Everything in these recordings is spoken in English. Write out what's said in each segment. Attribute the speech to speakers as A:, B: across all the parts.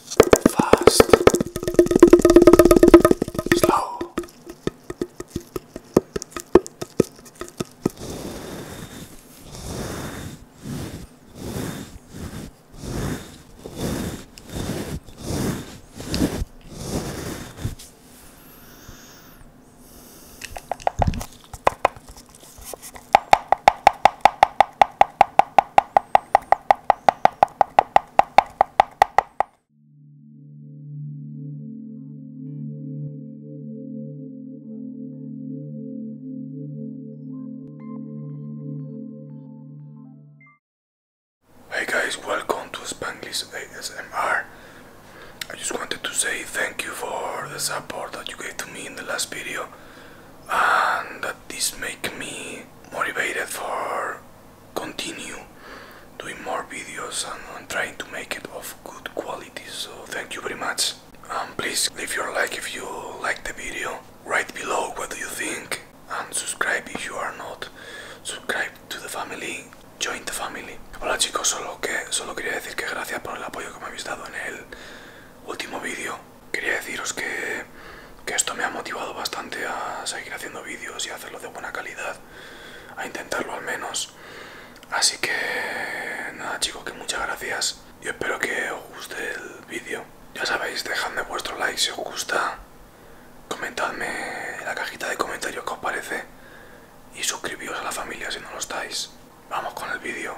A: fast, slow. Hey guys, welcome to Spanglish ASMR. I just wanted to say thank you for the support that you gave to me in the last video and that this make me motivated for continue doing more videos and trying to make it of good quality so thank you very much and please leave your like if you like the video right below what do you think and subscribe if you are not subscribe to the family join the family hola chicos solo que solo quería decir que gracias por el apoyo que me habéis dado en el último vídeo quería deciros que, esto me ha motivado bastante a seguir haciendo vídeos y a hacerlo de buena calidad, a intentarlo al menos. Así que nada chicos, que muchas gracias y espero que os guste el vídeo. Ya sabéis, dejadme vuestro like si os gusta, comentadme en la cajita de comentarios que os parece y suscribíos a la familia si no lo estáis. Vamos con el vídeo.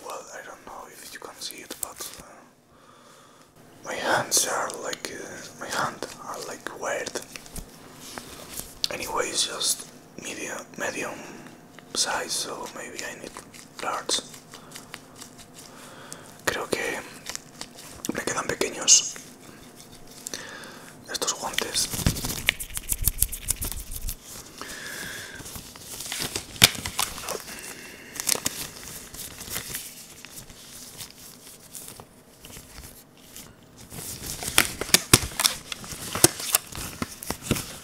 A: Well, I don't know if you can see it, but uh, my hands are like uh, my hand are like weird. Anyway, it's just medium, medium size, so maybe I need large. Creo que me quedan pequeños estos guantes.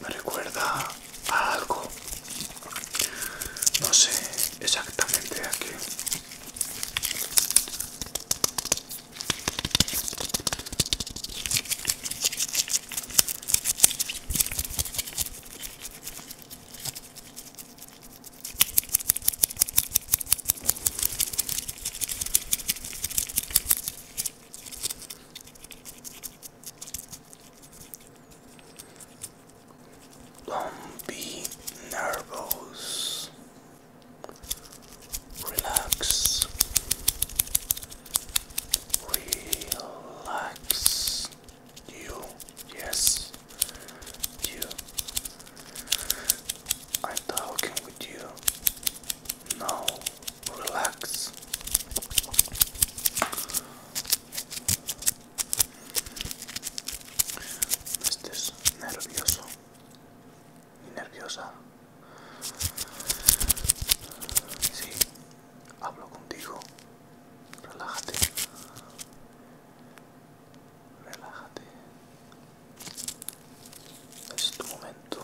A: me recuerda algo. No sé exactamente a qué. Don't be nervous. Relax. Relax. You, yes, you I'm talking with relax. estés nervioso y nerviosa. Sí, hablo contigo. Relájate. Relájate es tu momento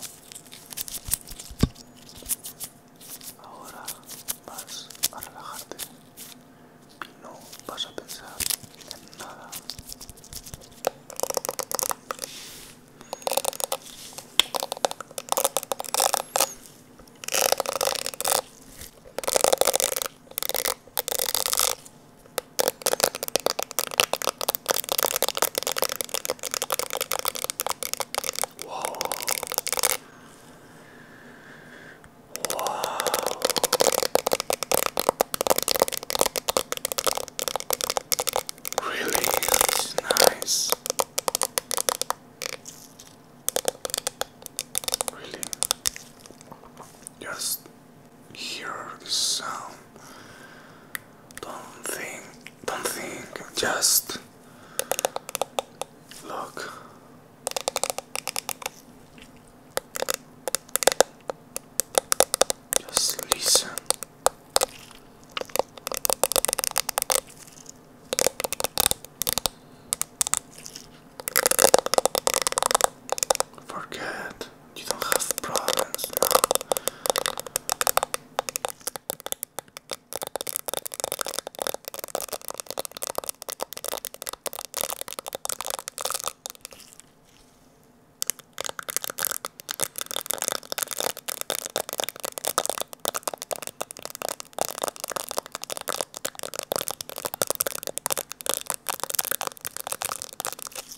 A: ahora vas a relajarte y no vas a pensar en nada Whoa. Wow. Really nice. Really. Just hear the sound. Don't think, don't think, just look. Just listen. Forget you don't have problems now.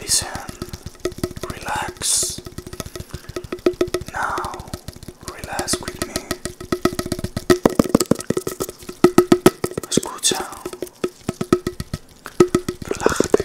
A: Listen, relax. Now, relax with me. Escucha, relájate.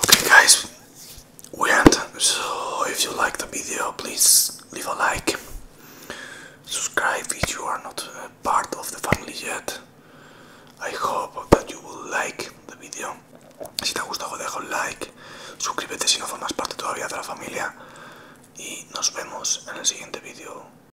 A: Okay guys, we So if you like the video, please leave a like. Subscribe if you are not part of the family yet. I hope that you will like the video. Si te ha gustado deja un like, suscríbete si no formas parte todavía de la familia y nos vemos en el siguiente vídeo.